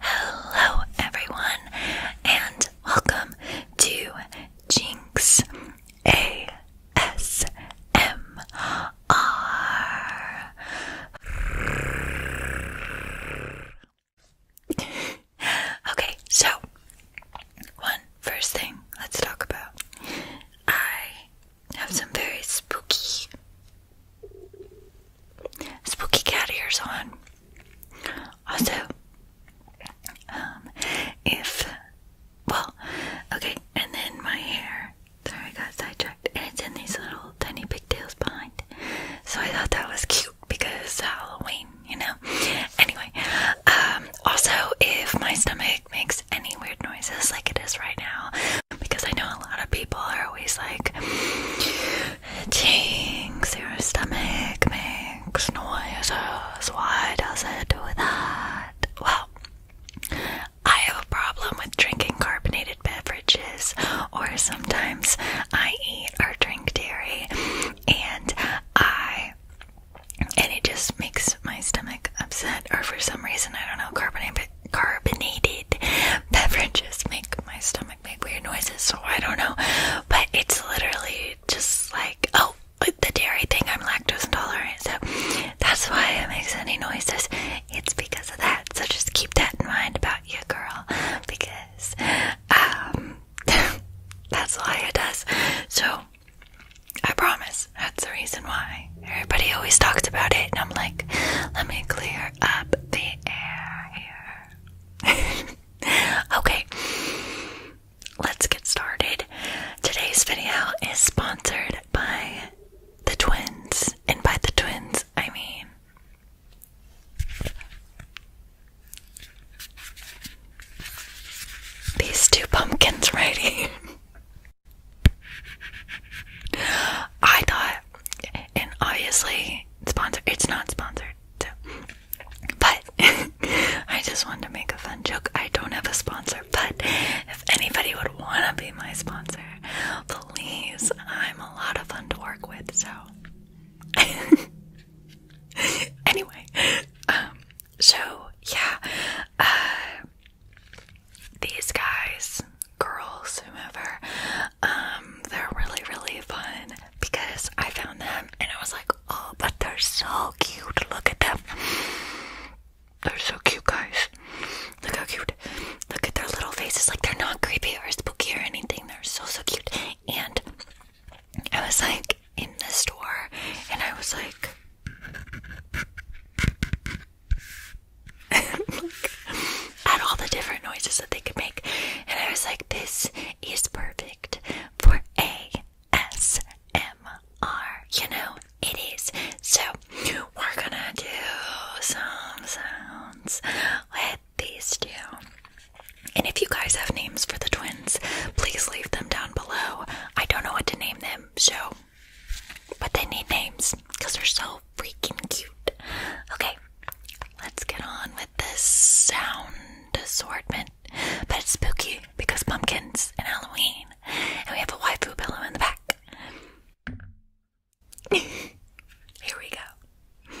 Hello, everyone, and welcome to Jinx ASMR. okay, so one first thing let's talk about. I have some very spooky spooky cat ears on. Also, um, if well, okay, and then my hair. Sorry, I got sidetracked, and it's in these little tiny pigtails behind. So I thought that was cute because Halloween, you know. Anyway, um, also if my stomach makes any weird noise like it is right now because I know a lot of people are always like, Jinx, your stomach makes noises. Why does it do that? Well, I have a problem with drinking carbonated beverages, or sometimes I eat or drink dairy, and I and it just makes my stomach upset, or for some reason I don't know carbonated carbonated beverages make my stomach make weird noises, so I don't know. But it's literally just like, oh, the dairy thing, I'm lactose intolerant, so that's why it makes any noises. It's because of that, so just keep that in mind about you, girl, because um, that's why it does. So, I promise that's the reason why. Everybody always talks about it, and I'm like, let me clear up the air here. okay, let's get started. Today's video is sponsored by the twins, and by the twins, I mean. These two pumpkins right here. I thought, and obviously, it's It's not sponsored, but I just wanted to make a fun joke. I don't have a sponsor, but if anybody would want to be my sponsor, please. I'm a lot of fun to work with, so. anyway, um, so yeah, uh, these guys, girls, whoever, um, they're really, really fun because I found them and I was like, oh, but they're so cute. Look at them. They're so cute, guys. Look how cute. Look at their little faces. Like, they're not creepy or spooky or anything. They're so, so cute. And I was like in the store and I was like, like, at all the different noises that they could make. And I was like, this is perfect for ASMR, you know? It is. So, we're gonna do some sounds with these two. And if you guys have names for the twins, please leave them down below. I don't know what to name them, so but they need names because they're so freaking cute. Okay, let's get on with this sound assortment. But it's spooky because pumpkins and Halloween. And we have a waifu pillow in the back. Here we go.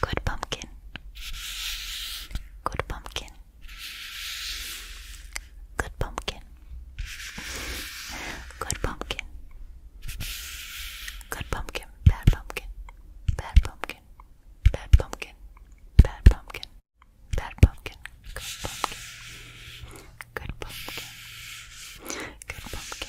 Good pumpkin. Good pumpkin. Good pumpkin. Good pumpkin. Good pumpkin. Bad pumpkin. Bad pumpkin. Bad pumpkin. Bad pumpkin. Bad pumpkin. Good pumpkin. Good pumpkin. Good pumpkin. Good pumpkin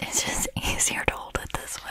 It's just easier to hold it this way.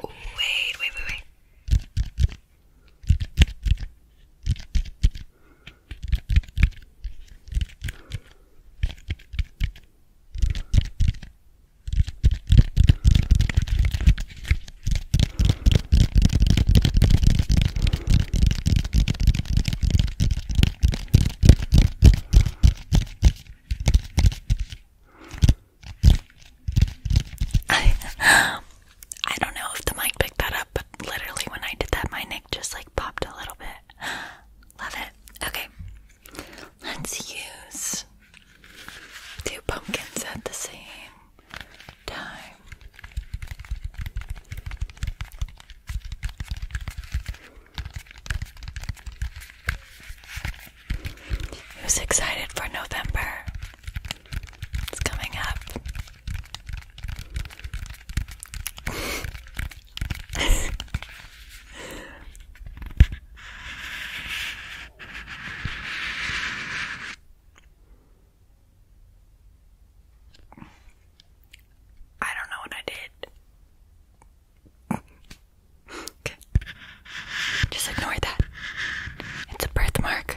Oh, wait, wait, wait, wait. I don't know if the mic picked that up, but literally when I did that, my neck just like popped a little bit. Love it. Okay, let's use two pumpkins at the same time. Who's excited for November? It's coming up. I don't know what I did. okay. Just ignore that. It's a birthmark.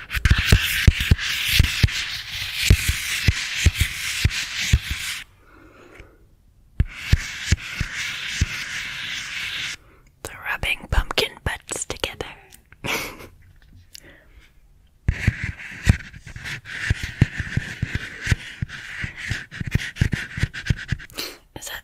they rubbing pumpkin butts together. Is that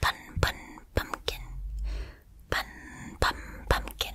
Bun bun pumpkin. Bun bum pumpkin.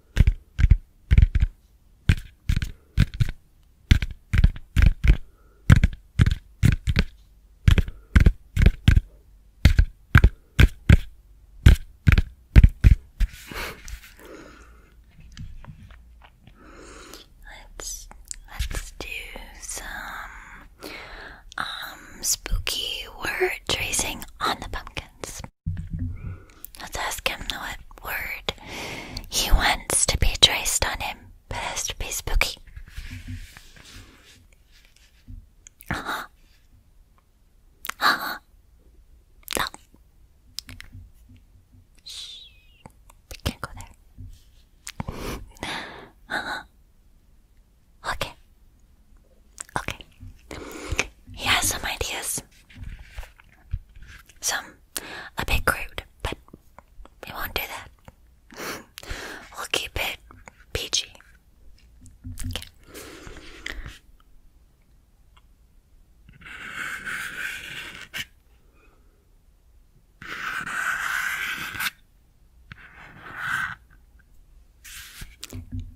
let's let's do some um spooky word tracing on the pumpkins. Let's ask him what word he wants to be traced on him, but has to be spooky. Uh huh. Uh-huh. No. Shh. We can't go there. uh Okay. Okay. He has some ideas. Some a bit crude, but we won't do that. we'll keep it PG.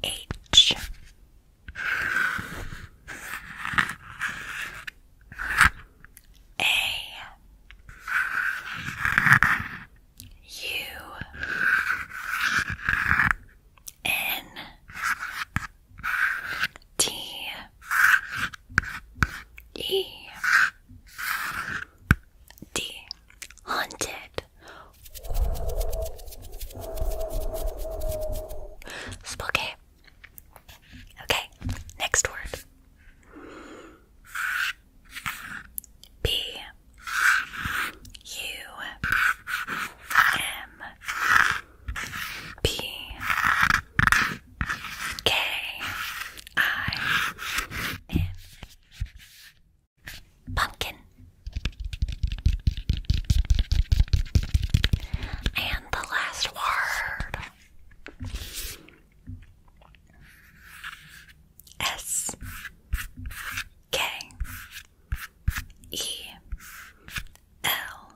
H Haunted Spooky. Okay, next word. B U M P K I N Pumpkin. And the last word S K E L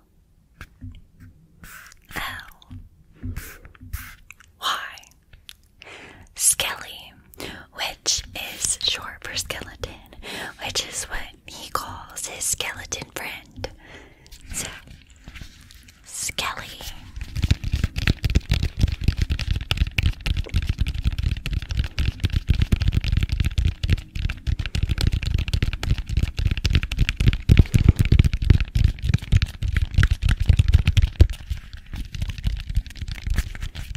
L Y Skelly which is short for skeleton, which is what he calls his skeleton friend. Skelly.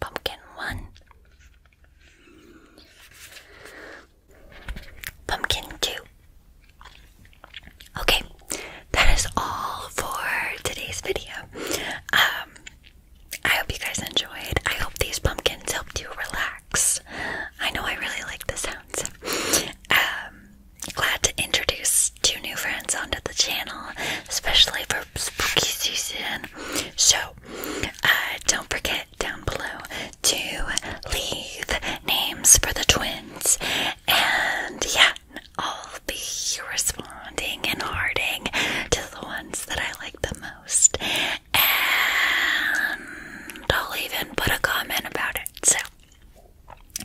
Pumpkin one, pumpkin two. Okay, that is all for today's video. Um, I hope you guys enjoyed. I hope these pumpkins helped you relax. I know I really like the sounds. Um, glad to introduce two new friends onto the channel, especially for spooky season. So, uh, don't forget down below to leave names for the twins. And yeah, I'll be responding and hearting to the ones that I like the most. And I'll even put a comment about it. So,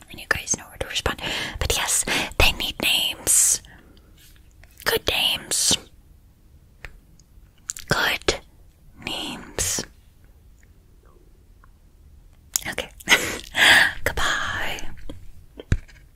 and you guys know where to respond. But yes, they need names. Good names. Good names. Okay. Goodbye.